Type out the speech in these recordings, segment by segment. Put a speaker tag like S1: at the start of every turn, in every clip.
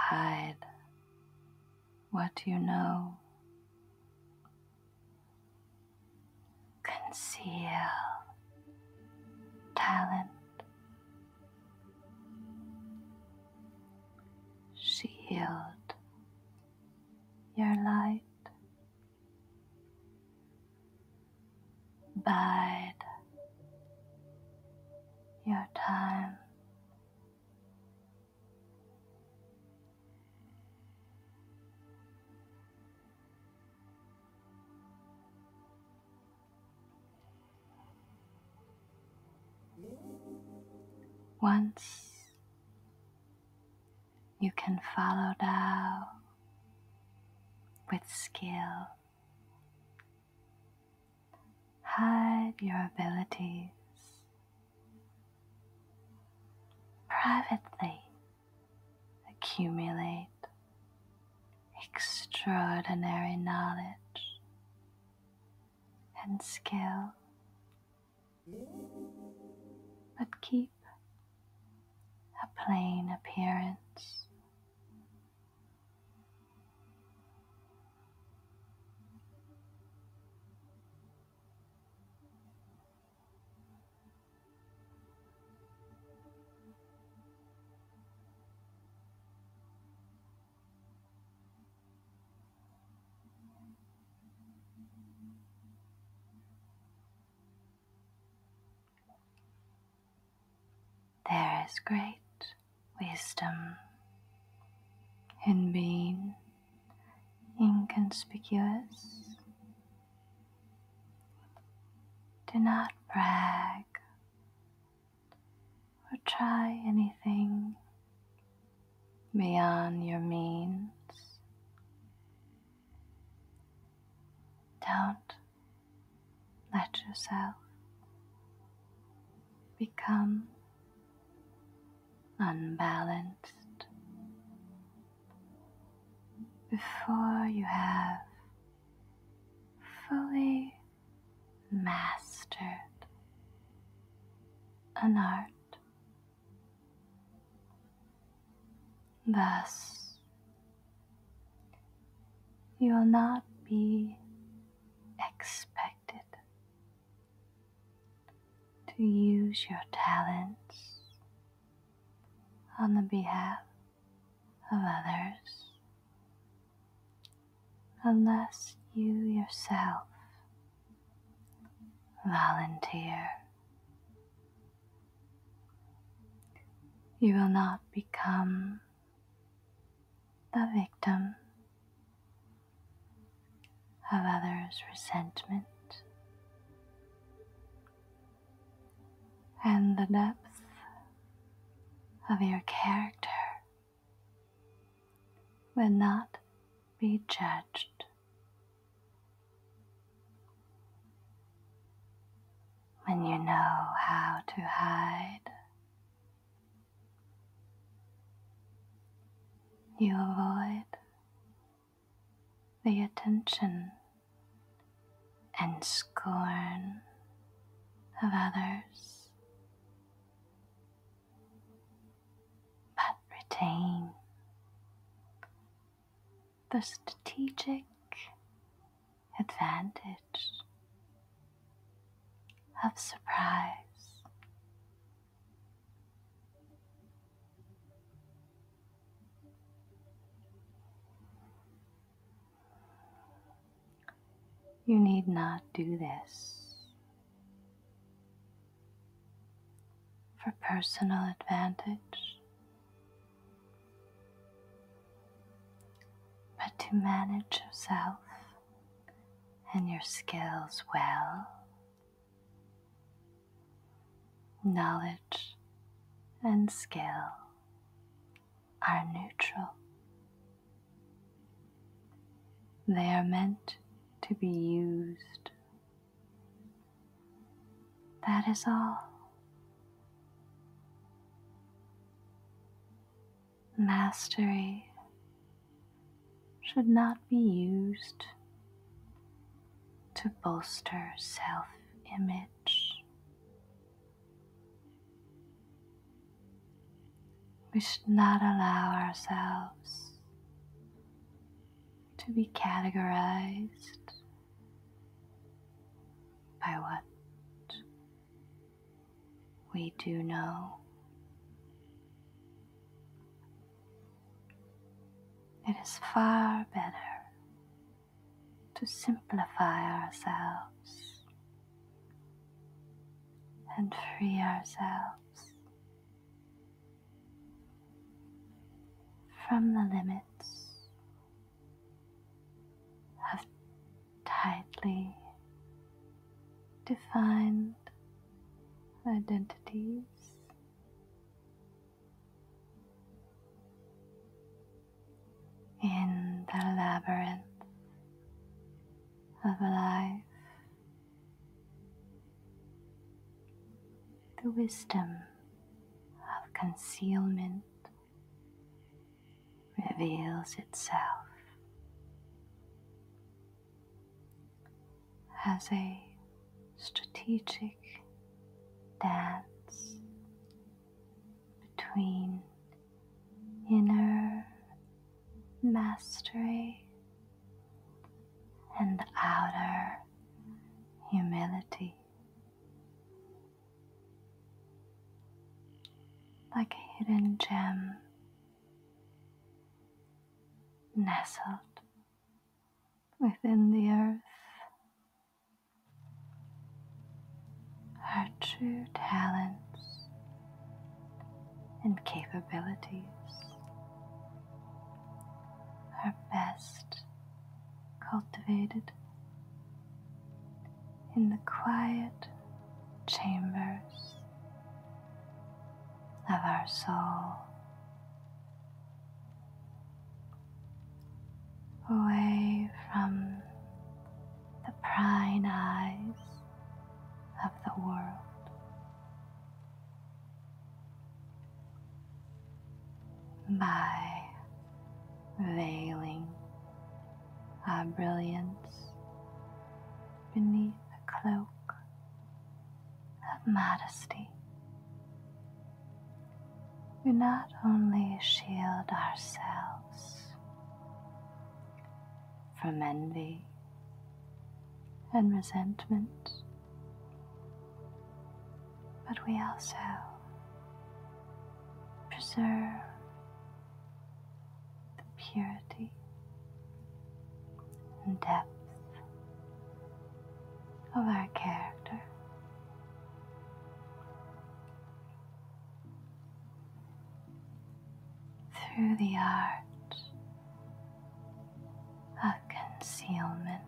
S1: Hide what you know conceal talent. Shield your light. Bide your time. Once you can follow Tao with skill, hide your abilities privately accumulate extraordinary knowledge and skill, but keep a plain appearance. There is great wisdom in being inconspicuous. Do not brag or try anything beyond your means. Don't let yourself become unbalanced. Before you have fully mastered an art. Thus, you will not be expected to use your talents on the behalf of others unless you yourself volunteer. You will not become the victim of others' resentment, and the depth of your character will not be judged. When you know how to hide you avoid the attention and scorn of others, but retain the strategic advantage of surprise. You need not do this for personal advantage, but to manage yourself and your skills well. Knowledge and skill are neutral. They are meant to be used. That is all mastery should not be used to bolster self image. We should not allow ourselves to be categorized by what we do know. It is far better to simplify ourselves and free ourselves from the limits of tightly defined identities. In the labyrinth of life, the wisdom of concealment reveals itself as a strategic dance between inner mastery and outer humility like a hidden gem nestled within the earth. Her true talents and capabilities, are best cultivated in the quiet chambers of our soul. Away from the prying eyes of the world. by veiling our brilliance beneath a cloak of modesty. We not only shield ourselves from envy and resentment, but we also preserve the purity and depth of our character. Through the art of concealment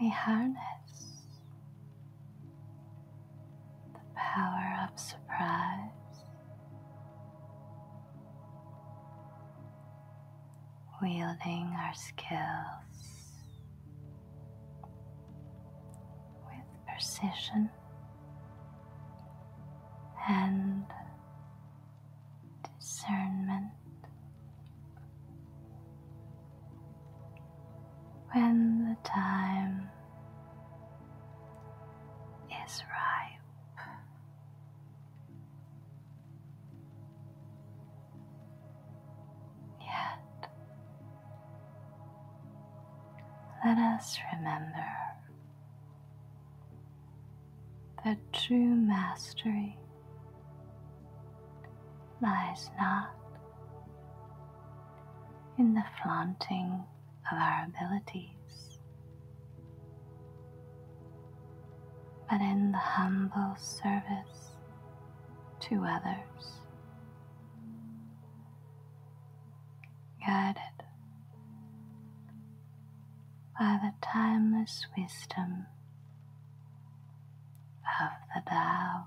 S1: we harness the power of surprise. Wielding our skills with precision and discernment. When the time is ripe, yet let us remember that true mastery lies not in the flaunting of our abilities, but in the humble service to others, guided by the timeless wisdom of the Tao.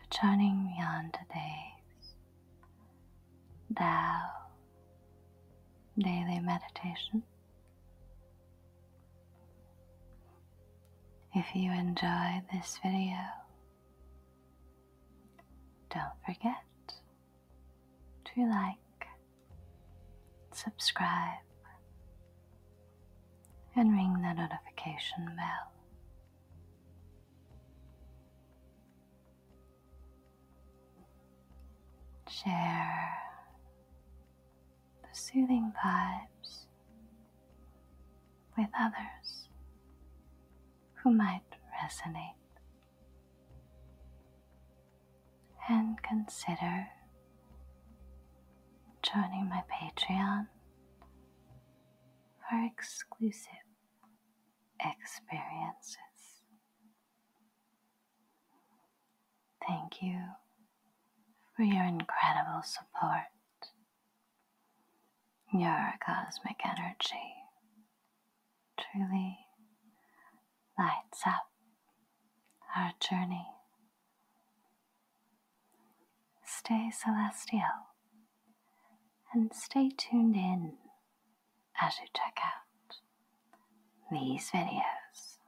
S1: returning beyond the days. Thou daily meditation. If you enjoyed this video, don't forget to like, subscribe, and ring the notification bell Share the soothing vibes with others who might resonate. And consider joining my Patreon for exclusive experiences. Thank you for your incredible support, your cosmic energy truly lights up our journey Stay celestial and stay tuned in as you check out these videos.